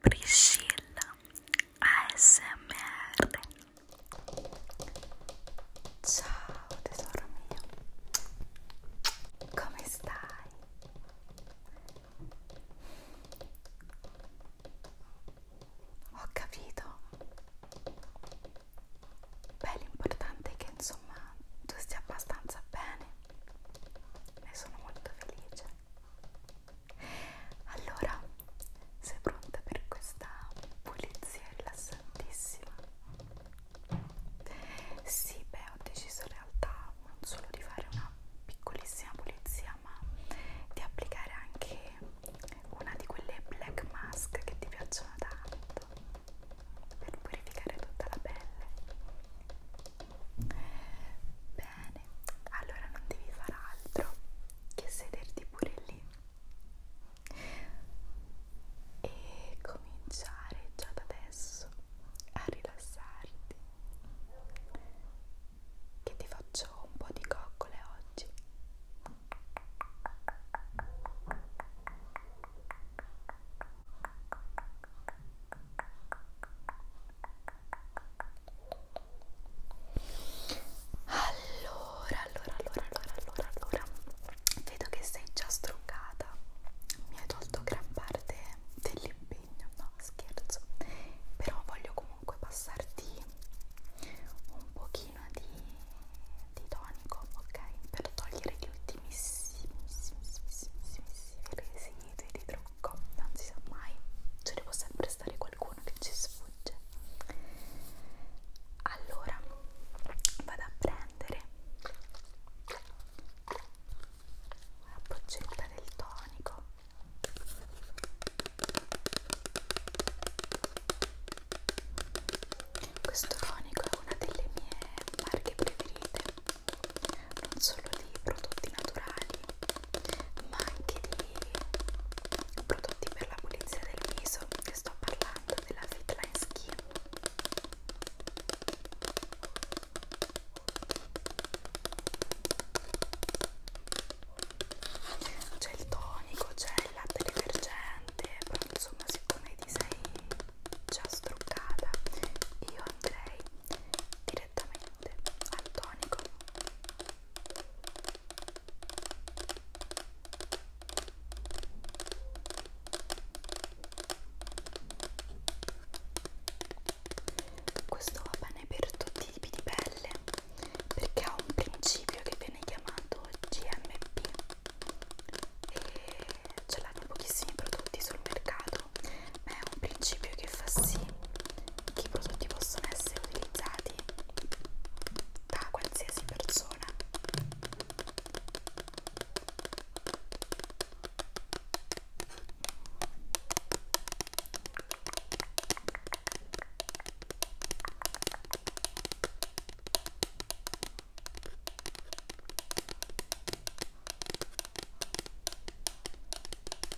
Priscilla ASMR Ciao tesoro mio Come stai? Ho capito Beh l'importante è che insomma tu stia abbastanza bene Ne sono molto felice allora, sei pronta per questa pulizia rilassantissima? Sì, beh, ho deciso in realtà non solo di fare una piccolissima pulizia, ma di applicare anche una di quelle black mask che ti piacciono tanto per purificare tutta la pelle Bene, allora non devi fare altro che sederti pure lì e cominciare già da adesso a rilassarti. Che ti faccio un po' di coccole oggi. Bene, allora, allora, allora, allora, allora, allora. Vedo che sei già struccata. Mi hai tolto gran parte dell'impegno, no scherzo. Però voglio comunque passarti un pochino di, di tonico, ok? Per togliere gli ultimissimissimi residui di fianco, ecco, non si sa mai, ce ne può sempre stare qualcuno che ci sfugge. Allora vado a prendere la boccetta del tonico. Questo tonico è una delle mie marche preferite, non solo di prodotti naturali, ma anche di prodotti per la pulizia del viso che sto parlando della Fitline Skin c'è il tonico, c'è il latte detergente però insomma siccome ti sei già struccata io andrei direttamente latte al tonico questo va bene per tutti i tipi di pelle perché ha un principio che viene chiamato GMP e ce l'hanno pochissimi prodotti sul mercato ma è un principio che fa sì che i prodotti possono essere utilizzati da qualsiasi persona.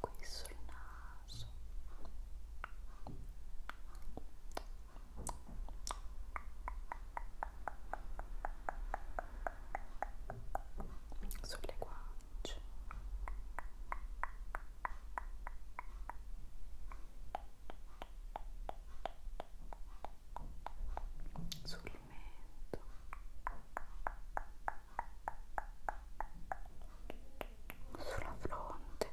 qui sul naso sulle guance sul mento sulla fronte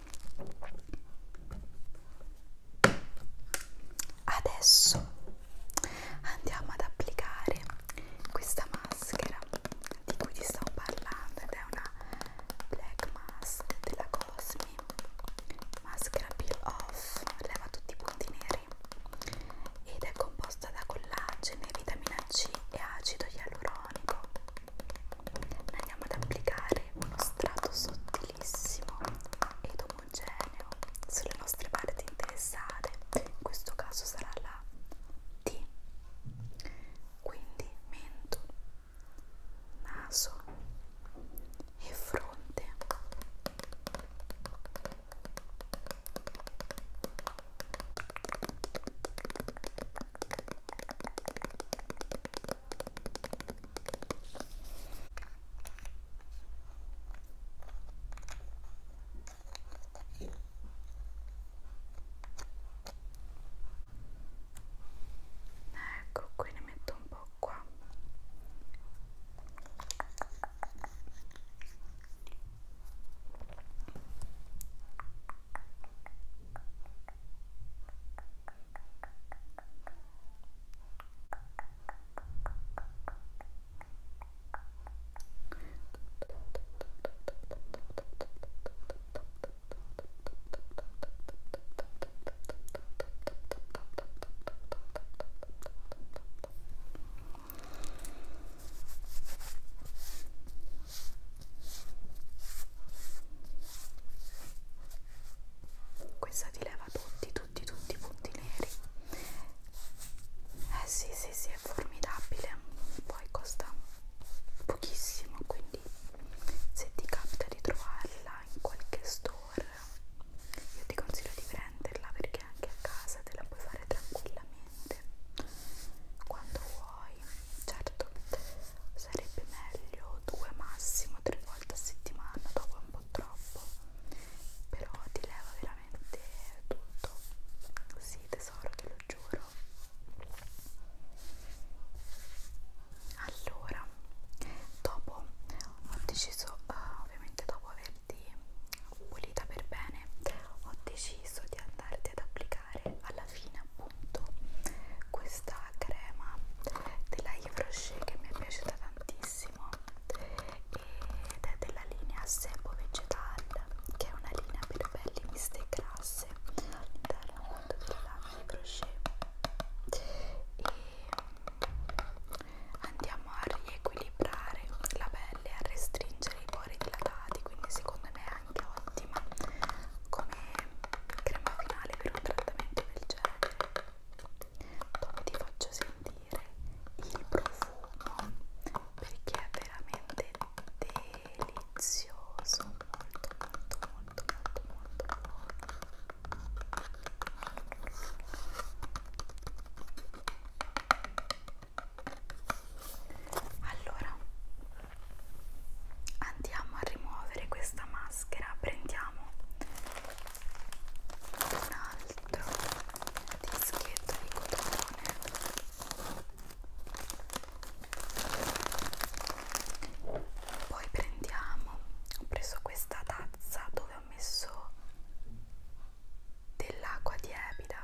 Adesso andiamo ad applicare questa maschera di cui ti stavo parlando ed è una black mask della Cosmi maschera peel off leva tutti i punti neri ed è composta da collagene, vitamina C e acido ialuronico andiamo ad applicare uno strato sottile bellissimo ed omogeneo sulle nostre parti interessate in questo caso sarà la T quindi mento naso e fronte Ecco, qui ne metto un po' qua. Questa ti leva trova tutti, tutti, tutti i punti neri. Eh sì, sì, sì, è formidabile. Poi costa pochissimo, quindi se ti capita di trovarla in qualche store, io ti consiglio di prenderla perché anche a casa te la puoi fare tranquillamente quando vuoi. Certo, sarebbe meglio due massimo tre volte volta a settimana, dopo è un po' troppo, però ti leva veramente tutto. Sì, tesoro, te lo giuro. Allora, dopo ho deciso, uh, ovviamente dopo averti pulita per bene, ho deciso di andarti ad applicare alla fine appunto questa crema della Yves che mi è piaciuta tantissimo ed è della linea Sebo Vegetal che è una linea per pelli miste e grasse all'interno appunto della lana di crochet e andiamo a riequilibrare la pelle a restringere i pori dilatati quindi secondo me è anche ottima come crema finale per un trattamento del genere dove ti faccio sentire il profumo perché è veramente delizioso molto molto molto molto molto buono allora andiamo a rimuovere questa maschera prendiamo un altro dischetto di cotone poi prendiamo ho preso questa tazza dove ho messo dell'acqua tiepida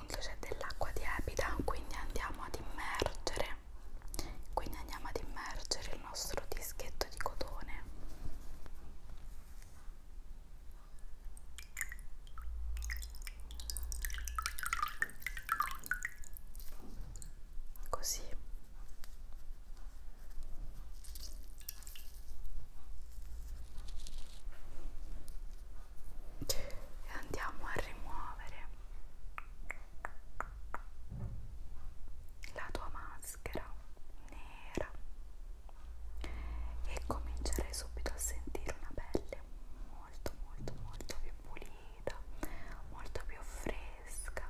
appunto c'è dell'acqua tiepida quindi andiamo ad immergere quindi andiamo ad immergere il nostro dischetto di cotone così e andiamo a rimuovere la tua maschera nera e comincerai subito a sentire una pelle molto molto molto più pulita molto più fresca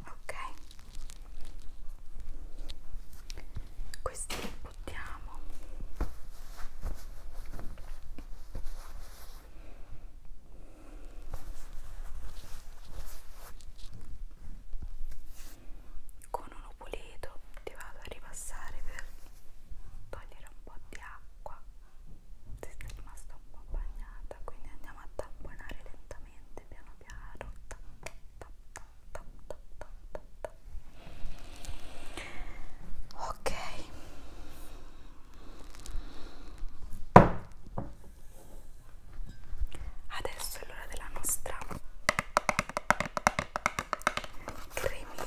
ok questi li buttiamo con uno pulito ti vado a ripassare per togliere un po' di acqua ti sei rimasta un po' bagnata quindi andiamo a tamponare lentamente piano piano tap, tap, tap, tap, tap, tap, tap, tap. ok adesso è l'ora della nostra cremina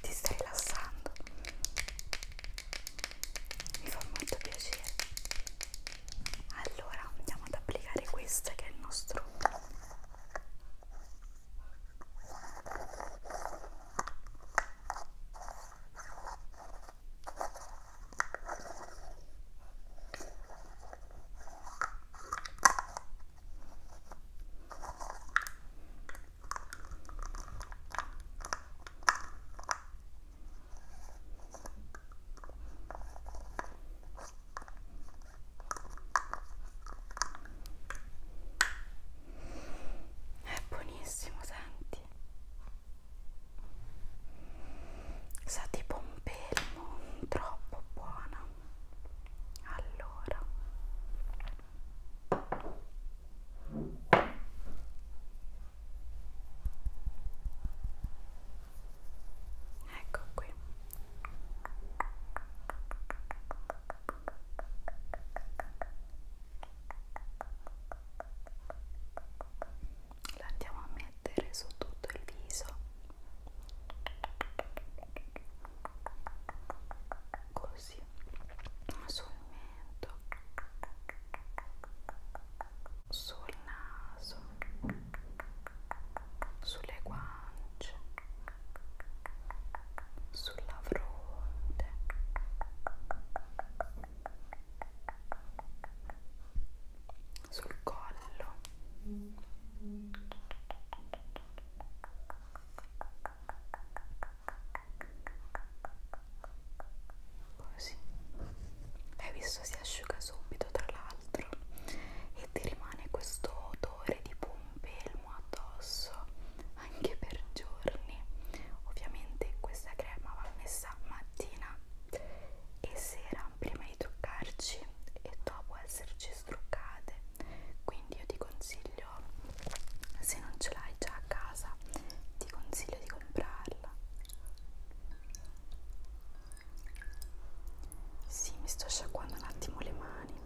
Ti stai rilassando. Mi fa molto piacere. Allora andiamo ad applicare questo che è il nostro è buonissimo, senti sa tipo un pelmo troppo buona allora ecco qui la andiamo a mettere su tutto il viso così sul mento sul naso sulle guance sulla fronte sul collo così hai visto si asciuga subito tra l'altro e ti rimane questo odore di pompelmo addosso anche per giorni ovviamente questa crema va messa mattina e sera prima di truccarci e dopo esserci struccate quindi io ti consiglio se non ce l'hai già a casa ti consiglio di comprarla sì mi sto sciacquando un attimo le mani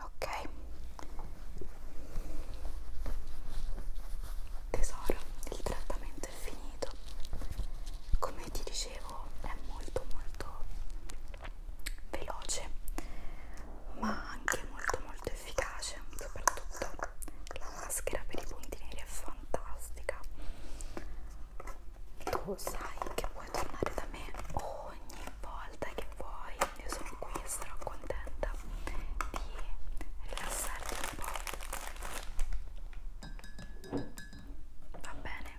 ok Tesoro, il trattamento è finito. Come ti dicevo, è molto molto veloce, ma anche molto molto efficace, soprattutto la maschera per i punti neri è fantastica. Tu sai che puoi tornare da me ogni volta che vuoi io sono qui e sarò contenta di rilassarti un po'. Va bene?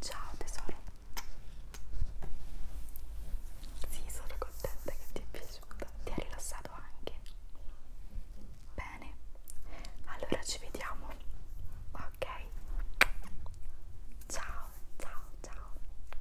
Ciao tesoro. Sì, sono contenta che ti è piaciuta. Ti ha rilassato anche. Bene. Allora ci vediamo. Ok. Ciao, ciao, ciao.